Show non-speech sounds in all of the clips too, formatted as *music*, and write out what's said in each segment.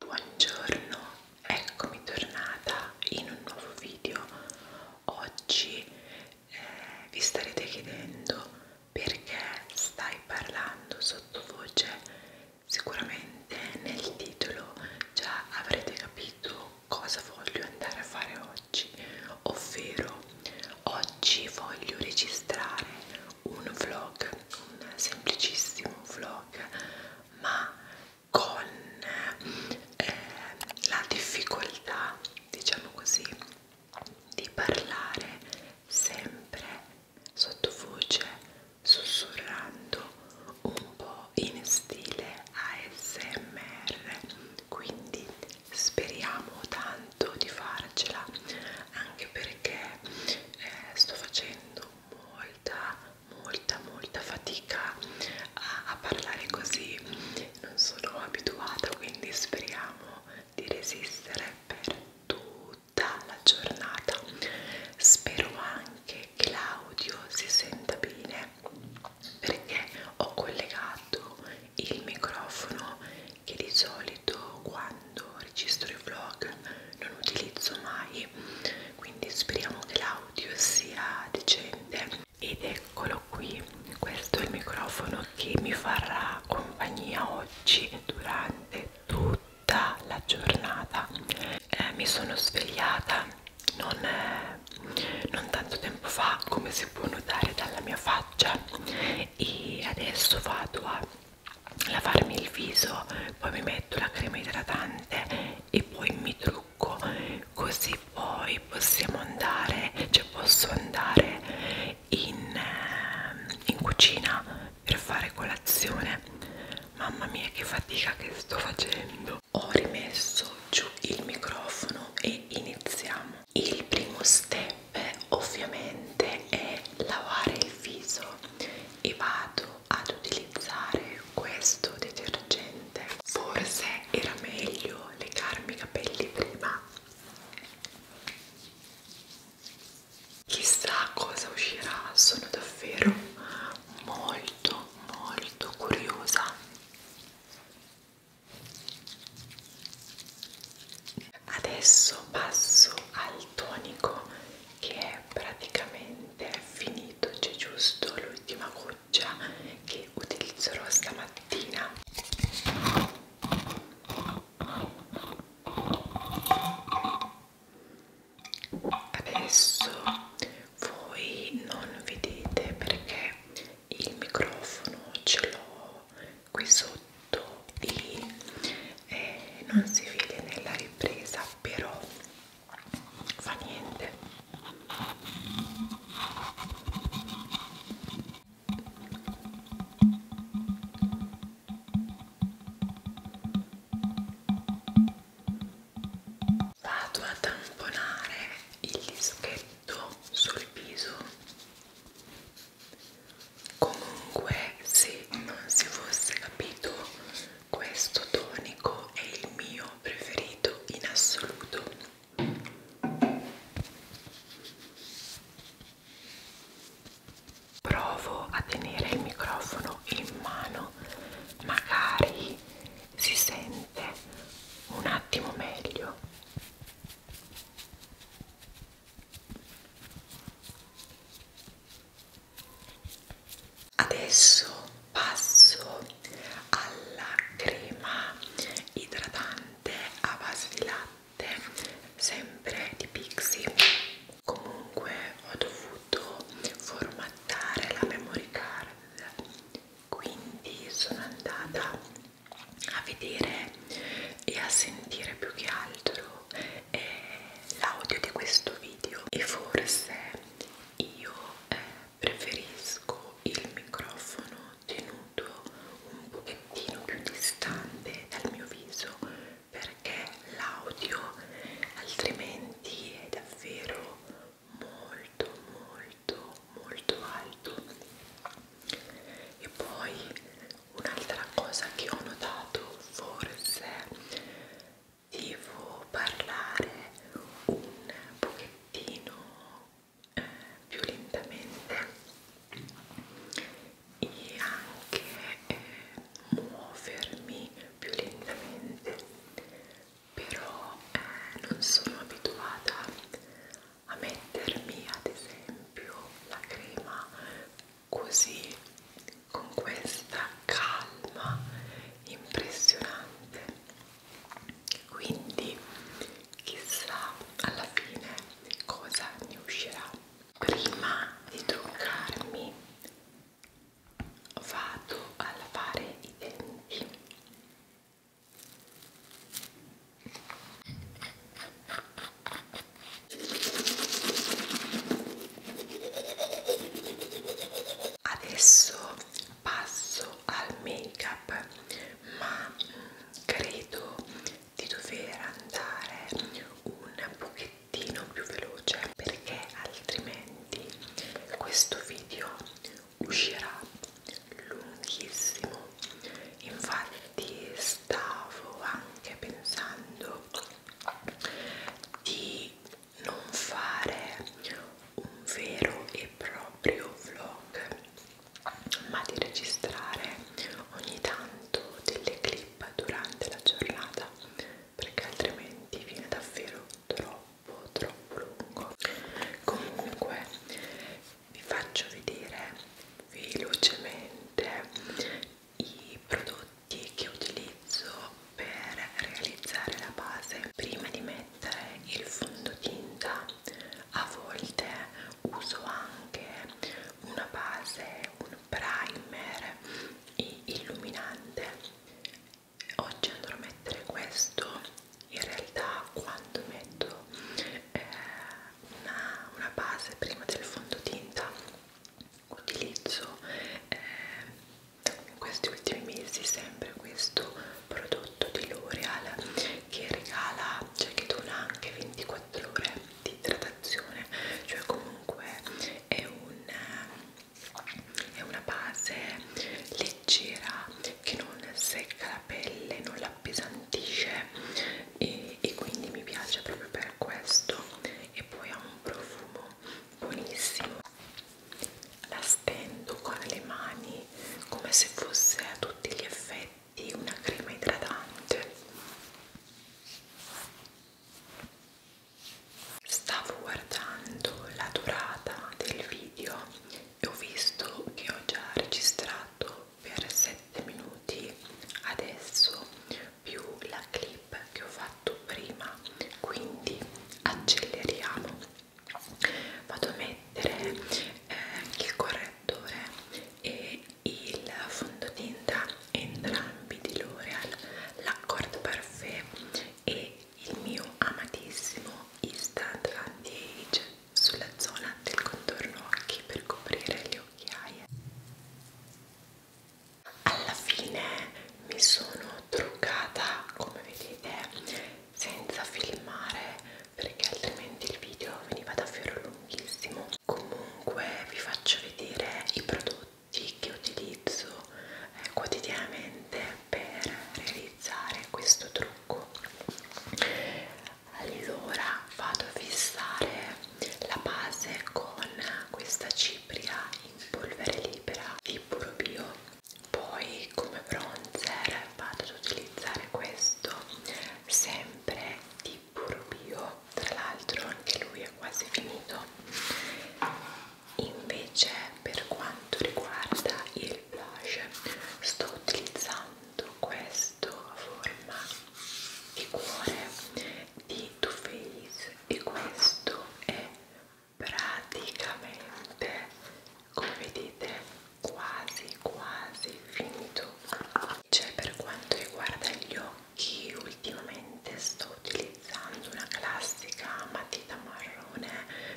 Buongiorno, eccomi tornata in un nuovo video. Oggi eh, vi starete chiedendo perché stai parlando sottovoce. Sicuramente nel titolo già avrete capito cosa voglio andare a fare oggi, ovvero oggi voglio registrare un vlog, un semplicissimo vlog ma con eh, la difficoltà, diciamo così, di parlare sempre sottovoce, sussurrando un po' in stile ASMR. Quindi speriamo tanto di farcela, anche perché eh, sto facendo molta molta molta fatica a, a parlare così non sono abituata quindi speriamo di resistere per tutta la giornata spero anche che l'audio si senta bene perché ho collegato il microfono che di solito quando registro i vlog non utilizzo mai quindi speriamo che l'audio sia decente ed eccolo qui questo è il microfono che mi farà compagnia oggi durante tutta la giornata eh, mi sono svegliata non, eh, non tanto tempo fa come si può notare dalla mia faccia e adesso vado a lavarmi il viso poi mi metto la crema idratante e poi mi trucco così poi possiamo andare cioè posso andare in, ehm, in cucina per fare colazione mamma mia che fatica che sto facendo ho rimesso giù il microfono e iniziamo il primo step ovviamente è lavare il viso e vado ad utilizzare questo detergente forse era meglio legarmi i capelli prima chissà cosa uscirà sono davvero molto molto curiosa adesso passo al tonico che è praticamente finito, c'è giusto l'ultima goccia che utilizzerò stamattina. Adesso voi non vedete perché il microfono ce l'ho qui sotto e eh, non si vede nella ripresa, però fa niente vado a tamponare il dischetto sul viso comunque se non si fosse capito questo tonico è il mio preferito in assoluto provo a tenere il microfono in mano magari si sente un attimo meglio Adesso passo alla crema idratante a base di latte, sempre di Pixie. Comunque ho dovuto formattare la memory card, quindi sono andata a vedere e a sentire più che altro eh, l'audio di questo video e forse io eh, preferisco il microfono tenuto un pochettino più distante dal mio viso perché l'audio altrimenti è davvero molto molto molto alto e poi un'altra cosa che ho notato forse devo parlare un pochettino eh, più lentamente e anche eh, muovermi più lentamente però eh, non sono abituata a mettermi ad esempio la crema così con questa calma impressionante quindi chissà alla fine cosa ne uscirà prima di truccarmi vado a lavare i denti adesso passo al make up ma mm, credo di dover andare un pochettino più veloce perché altrimenti questo video uscirà lunghissimo infatti stavo anche pensando di non fare un vero e proprio vlog ma di registrare ogni tanto delle clip durante la giornata perché altrimenti viene davvero troppo troppo lungo comunque vi faccio vedere velocemente i prodotti che utilizzo per realizzare la base prima di mettere il fondotinta a volte uso anche una base un primer illuminante oggi andrò a mettere questo in realtà quando metto eh, una, una base prima del fondotinta utilizzo eh, in questi ultimi mesi sempre questo prodotto di L'Oreal che regala, cioè che dona anche 24 ore di idratazione, cioè comunque è, un, eh, è una base leggera che non secca la pelle, non la appesantisce e, e quindi mi piace proprio per questo e poi ha un profumo buonissimo la stendo con le mani come se fosse a tutti gli effetti una crema idratante. Stavo guardando la durata del video e ho visto che ho già registrato per 7 minuti adesso più la clip che ho fatto prima quindi acceleriamo vado a mettere eh, il correttore e il fondotinta entrambi di L'Oreal l'Accord Parfait e il mio amatissimo Instant Anti-Age sulla zona del contorno occhi per coprire le occhiaie alla fine mi sono sono truccata come vedete senza filmare perché altrimenti il video veniva davvero lunghissimo comunque vi faccio vedere i prodotti che utilizzo eh, quotidianamente per realizzare questo trucco allora vado a fissare la base con questa cipria in polvere libera di puro bio poi come bronzer vado ad utilizzare questo sempre di puro bio tra l'altro anche lui è quasi finito invece per quanto riguarda il blush sto utilizzando questo a forma di cuore di Too Faced e questo è praticamente come vedete quasi quasi finito cioè per quanto riguarda gli occhi ultimamente sto utilizzando una classica matita marrone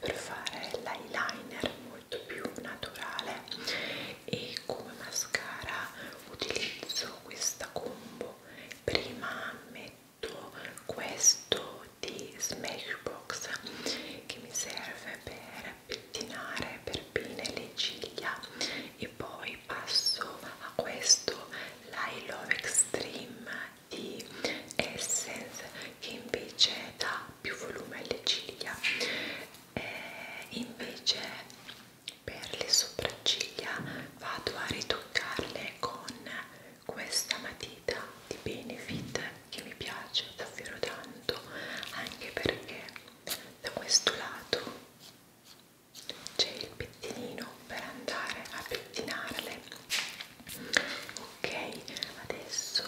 per fare l'eyeliner molto più naturale e come mascara utilizzo questa combo prima metto detto questo di Smashbox che mi serve per pettinare per pine le ciglia e poi passo a questo l'I Love Extreme di Essence che invece dà più volume alle ciglia e eh, invece per le sopracciglia vado a ritoccarle con questa matita di Benefit che mi piace davvero tanto anche perché da questo lato c'è il pettinino per andare a pettinarle ok adesso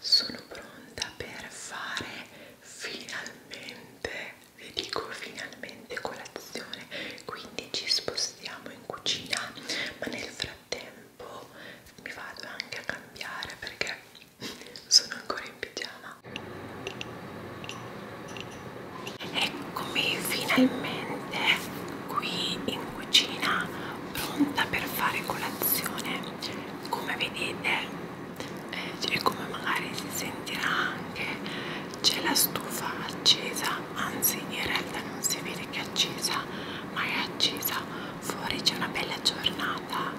sono pronta per fare finalmente vi dico finalmente colazione quindi ci spostiamo in cucina ma nel frattempo tempo mi vado anche a cambiare perché sono ancora in pigiama eccomi finalmente qui in cucina pronta per fare colazione come vedete eh, e cioè come magari si sentirà anche c'è la stufa accesa anzi in realtà non si vede che è accesa ma è accesa fuori c'è una bella giornata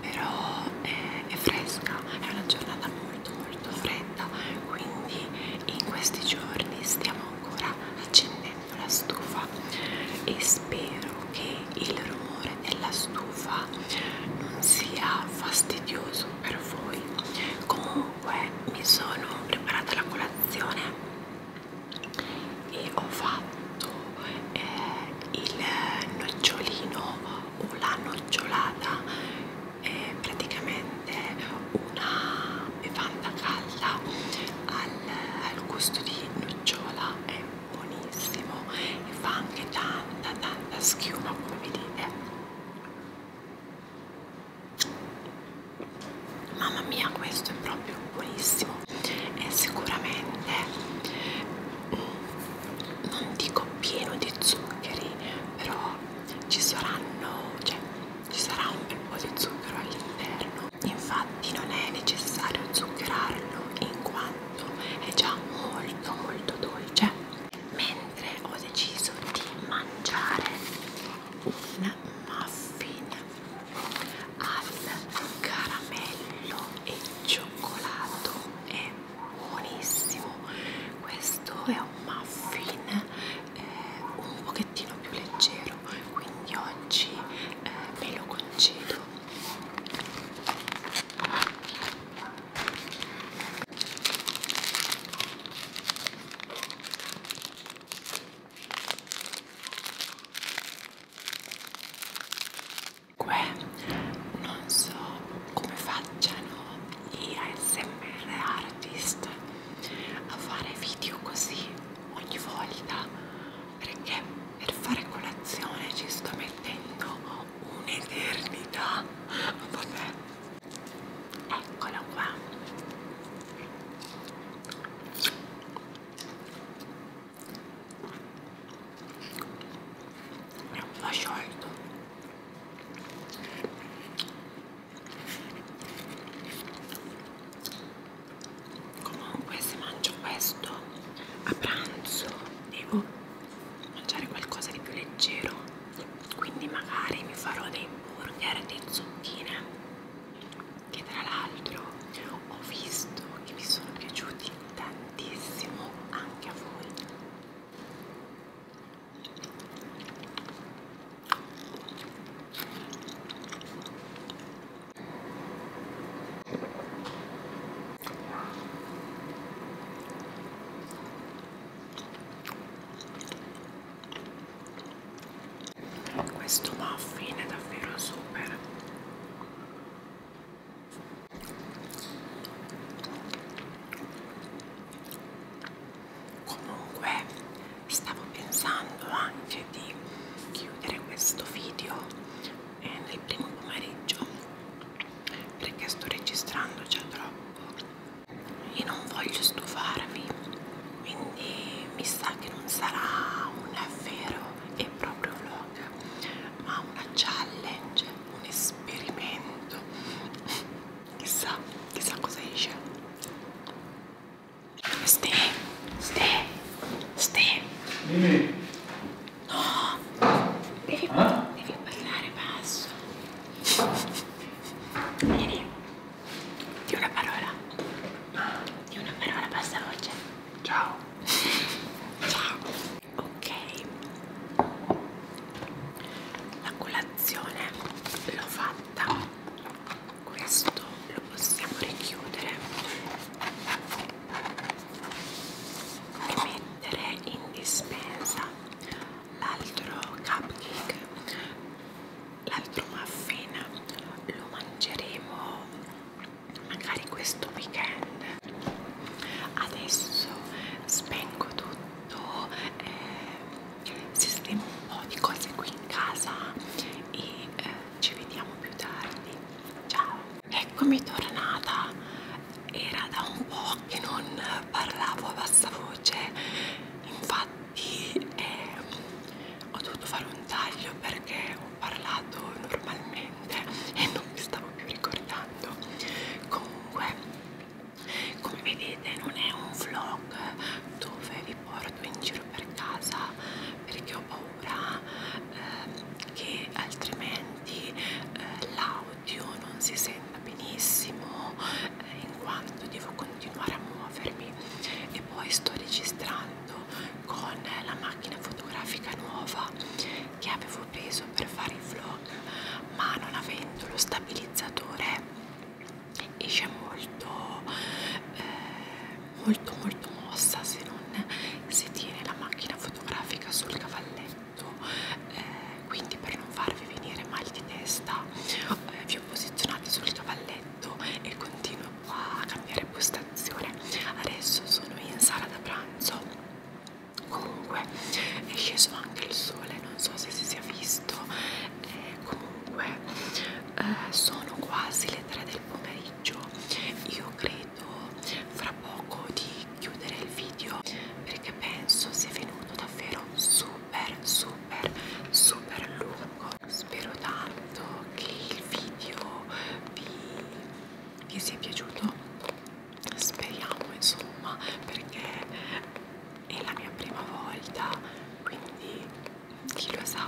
però è, è fresca è una giornata molto molto fredda quindi in questi giorni stiamo ancora accendendo la stufa e spero che il rumore della stufa non sia fastidioso per voi comunque mi sono preparata la colazione e ho fatto eh, il nocciolino o la nocciolata eh, praticamente una bevanda calda al, al gusto di nocciola è buonissimo e fa anche tanta tanta schiuma come vedete eh mamma mia questo è proprio buonissimo è sicuramente non dico pieno di zuccheri però ci saranno cioè ci sarà un bel po' di zucchero all'interno infatti non è necessario zuccherarlo in quanto è già molto molto dolce mentre ho deciso di mangiare un muffin al caramello e cioccolato è buonissimo questo è un muffin eh, un pochettino più leggero quindi oggi eh, me lo concedo Comunque non so come facciano gli ASMR artist a fare video così ogni volta perché per fare colazione ci sto mettendo un'eternità vabbè eccolo qua va sciolto comunque se mangio questo a pranzo devo mangiare qualcosa di più leggero quindi magari mi farò dei burger di zucchine che tra l'altro ho visto che vi sono piaciuti tantissimo anche a voi questo muffin è davvero super comunque stavo pensando anche di chiudere questo video eh, nel primo pomeriggio perché sto registrando già troppo e non voglio stufarvi quindi mi sa che non sarà un davvero è proprio un vlog, ma una challenge, un esperimento. Chissà, chissà cosa esce. Ste, ste, ste. Dimmi. No, devi, ah? devi parlare basso. Vieni, di una parola. Di una parola bassa voce. Ciao. *laughs* Ciao. Ok. La colazione l'ho fatta. Questo lo possiamo richiudere e mettere in dispensa l'altro cupcake, l'altro muffin. Lo mangeremo magari questo weekend adesso spengo tutto eh, sistemo un po' di cose qui in casa e eh, ci vediamo più tardi ciao eccomi tornata era da un po' che non parlavo a bassa voce infatti eh, ho dovuto fare un taglio perché ho parlato normalmente e non mi stavo più ricordando comunque come vedete non è un vlog dove vi porto in giro per casa perché ho paura eh, che altrimenti eh, l'audio non si senta benissimo eh, in quanto devo continuare a muovermi e poi sto registrando con la macchina fotografica nuova che avevo preso per fare i vlog ma non avendo lo stabilizzatore esce molto eh, molto molto mossa se non si tiene la macchina fotografica sul cavalletto eh, quindi per non farvi venire mal di testa eh, vi ho posizionati sul cavalletto e continuo a cambiare postazione adesso sono in sala da pranzo comunque è sceso anche il sole non so se si sia visto eh, comunque eh, sono quasi le 3 del pomeriggio io credo fra poco di chiudere il video perché penso sia venuto davvero super super super lungo spero tanto che il video vi vi sia piaciuto speriamo insomma perché è la mia prima volta quindi chi lo sa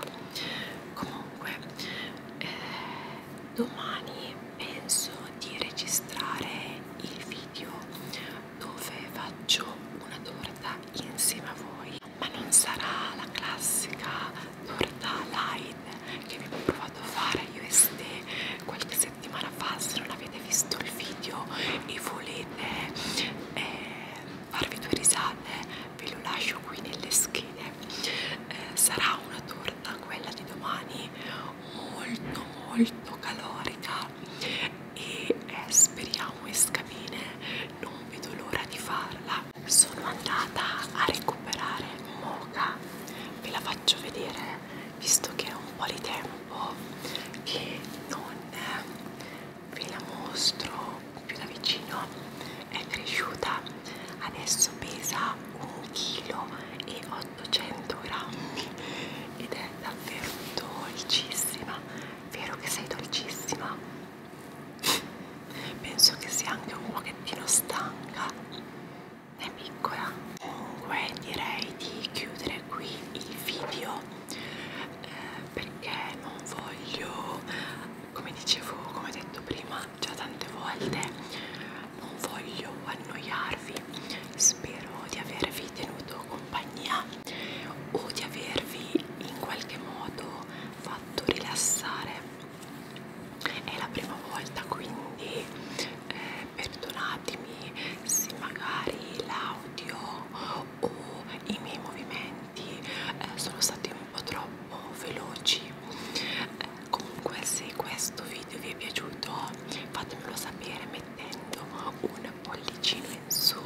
comunque eh, domani penso di registrare il video dove faccio una torta insieme a voi ma non sarà la classica Nordaline che abbiamo provato a fare io e Ste qualche settimana fa. Se non avete visto il video e volete eh, farvi due risate, ve lo lascio qui nelle schede. Eh, sarà una torta quella di domani molto, molto calorica e eh, speriamo esca bene. Non vedo l'ora di farla allora sono andata a recuperare Mocha ve la faccio vedere visto che è un po' di tempo che non eh, ve la mostro più da vicino è cresciuta adesso pesa 1 kg e 800 grammi ed è davvero dolcissima vero che sei dolcissima *laughs* penso che sia anche un pochettino stanca è piccola comunque direi di chiudere qui il video eh, perché non voglio come dicevo come ho detto prima già tante volte non voglio annoiarvi spero di avervi tenuto compagnia o di avervi in qualche modo fatto rilassare è la prima volta quindi eh, perdonatemi se magari l'audio o i miei movimenti eh, sono stati un po' troppo veloci eh, comunque se questo video vi è piaciuto fatemelo sapere mettendo un pollicino in su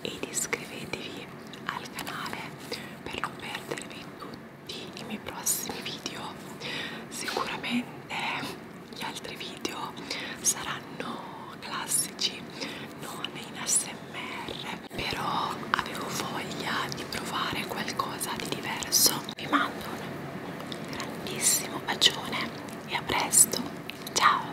ed iscrivetevi al canale per non perdervi tutti i miei prossimi video sicuramente gli altri video saranno classici non in ASMR però avevo voglia di provare qualcosa di diverso vi mando un grandissimo bacione e a presto ciao